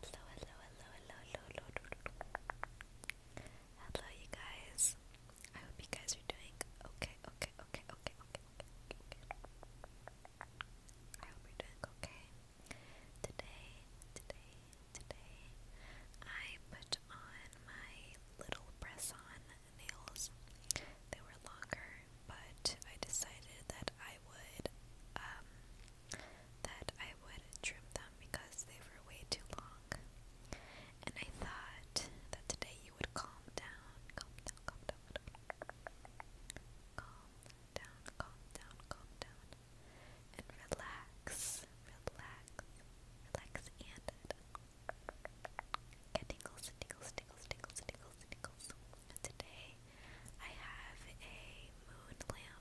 Hello, hello, hello, hello, hello, hello. Hello, you guys. I hope you guys are doing okay, okay, okay, okay, okay, okay, okay. I hope you're doing okay. Today, today, today, I put on my little press-on nails. They were longer, but I decided that I would um, that I would trim them because they were way too long. And I thought that today you would calm down, calm down, calm down, calm down, calm down, calm down, and relax, relax, relax, and get tingles, tingles, tingles, tingles, tingles, tingles. today I have a moon lamp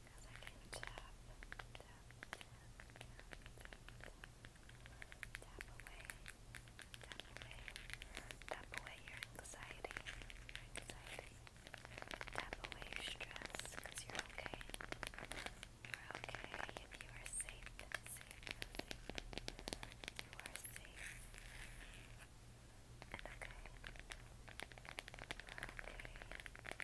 Because tap, away, tap away, tap away your anxiety, your anxiety, tap away your you're okay. You're okay if you are safe, safe, You are safe and okay. okay.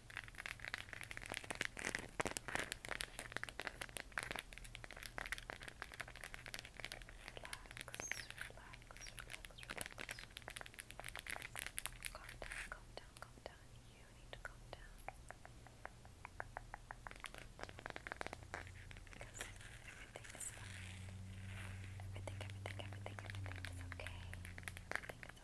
down, calm down. You need to calm down. Because everything is fine. Everything, everything, everything, everything is okay. Everything is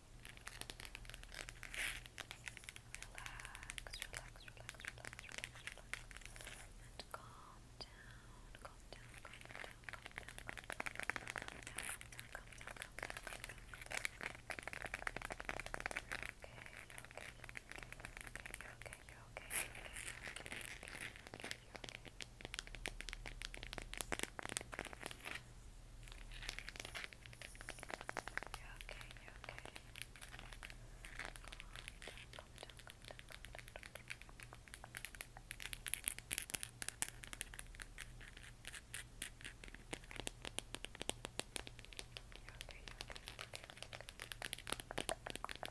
relax, relax, relax, relax. And calm down, calm down, calm down, calm down, calm down, calm down, calm down, calm down, Okay, okay, you're okay, you're okay, you're okay, you're okay, you're okay. You're okay, you're okay. Calm down, calm down, calm down, calm down. You're okay, you're okay, you're okay.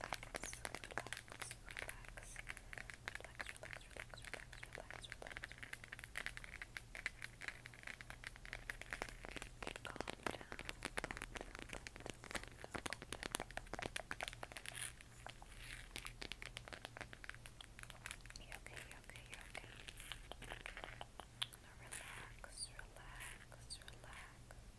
Relax, relax relax, relax, relax, relax, relax, relax, relax. Calm down, calm down, calm down, calm down, You're okay, you're okay, you're okay. Now relax, relax, relax. Relax. All right.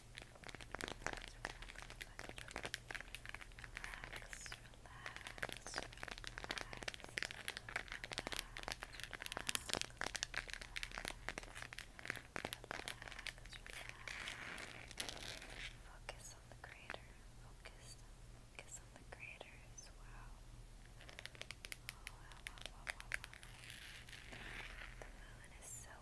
Focus on the Creator. Focus, focus on the Creator as well. The moon is so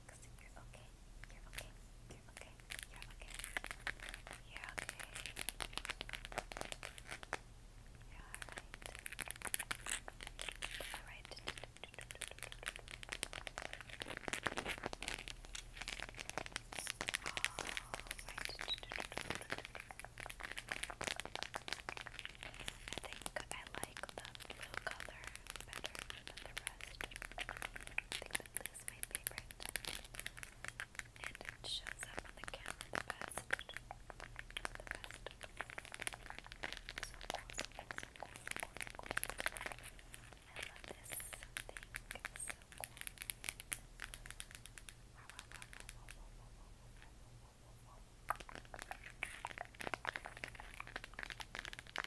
relax. You're okay. You're okay. You're okay. You're okay. You're okay. You're alright. Alright. Alright. I I like the blue color better than the crust. I think that this is my favorite. And it shows up on the camera the best. The best. So cool, so cool, so cool, so cool, so cool. I love this thing. It's so cool. Wow, wow, wow, wow, wow, wow, wow, wow, wow, wow, wow, wow